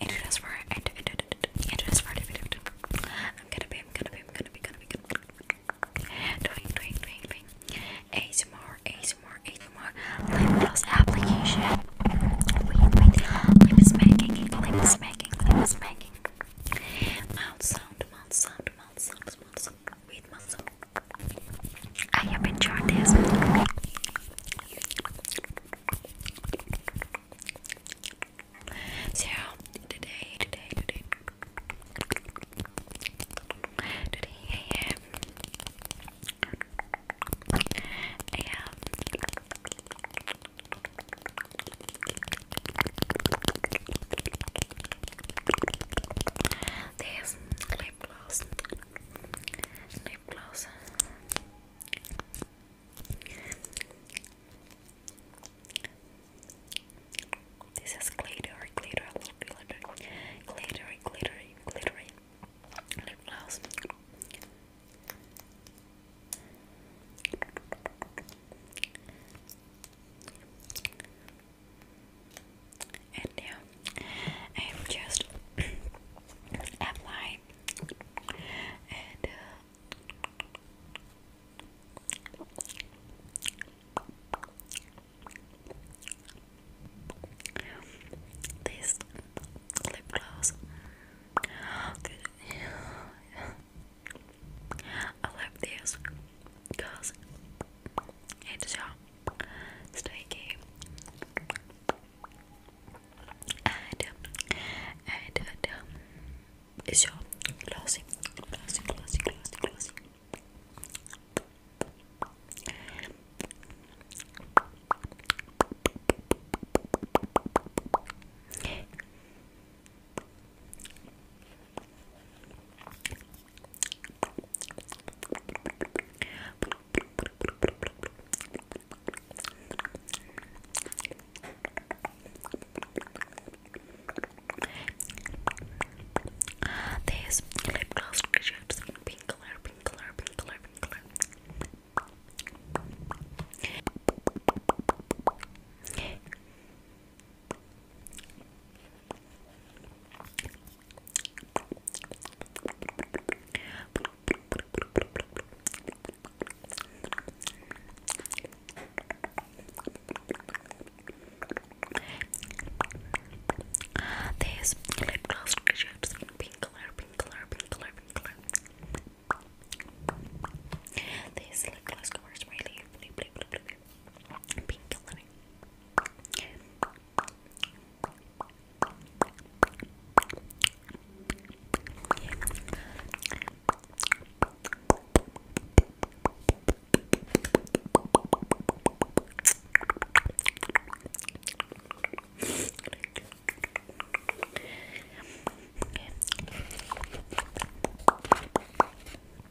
It is for it. I'm gonna be. I'm gonna be. I'm gonna be. Gonna Gonna be. Doing. Doing. Doing. Doing. ASMR. ASMR. ASMR. Lip gloss application. Lip smacking. Lip smacking. Lip smacking. Mouth sound. Mouth sound. Mouth sound. Mouth sound. I have enjoyed this. So today, today, today, today I am, um, this lip lip gloss. This is glittery, glittery, glittery, glittery, glittery, glittery lip gloss and yeah, I'm just applying and uh, this lip gloss. I love this because it's so Slinky. And, and, and, um, it's your glossy, glossy, glossy, glossy, glossy. This lip gloss shapes pink color, pink color, this lip gloss rejects pink color, pink color, pink color, pink lip gloss covers my lip, been killing it. Okay.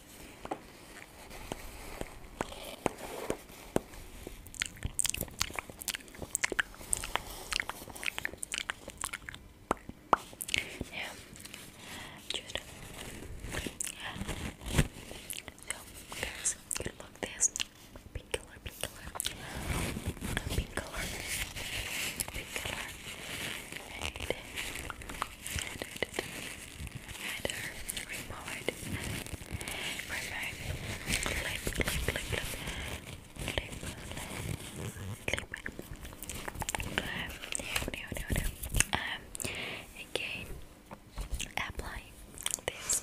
Yeah, good. Uh, so, guys, you love this pink color, pink color, pink color, pink color, and uh, header report perfect clip clip clip clip clip clip um, no um, again apply this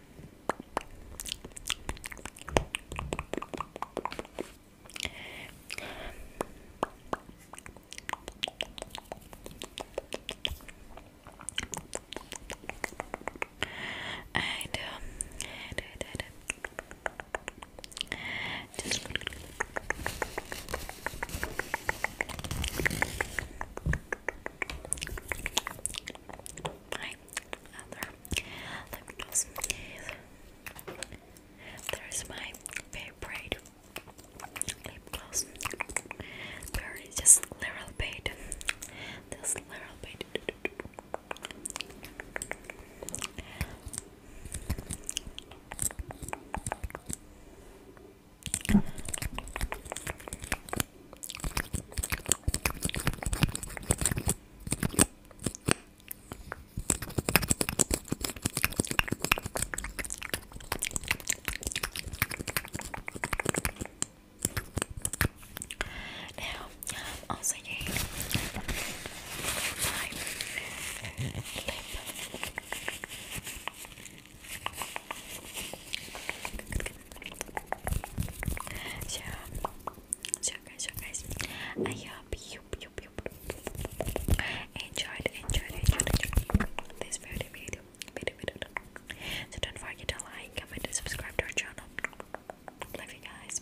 I do, I Just my other lip gloss. There's my favorite lip gloss. There is just little bit. This little bit. Now, I'm also getting my so, so guys, so guys, I hope you, enjoyed, enjoyed, enjoyed, enjoyed this video, video, video, video. So don't forget to like, comment, and subscribe to our channel. Love you guys.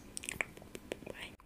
Bye.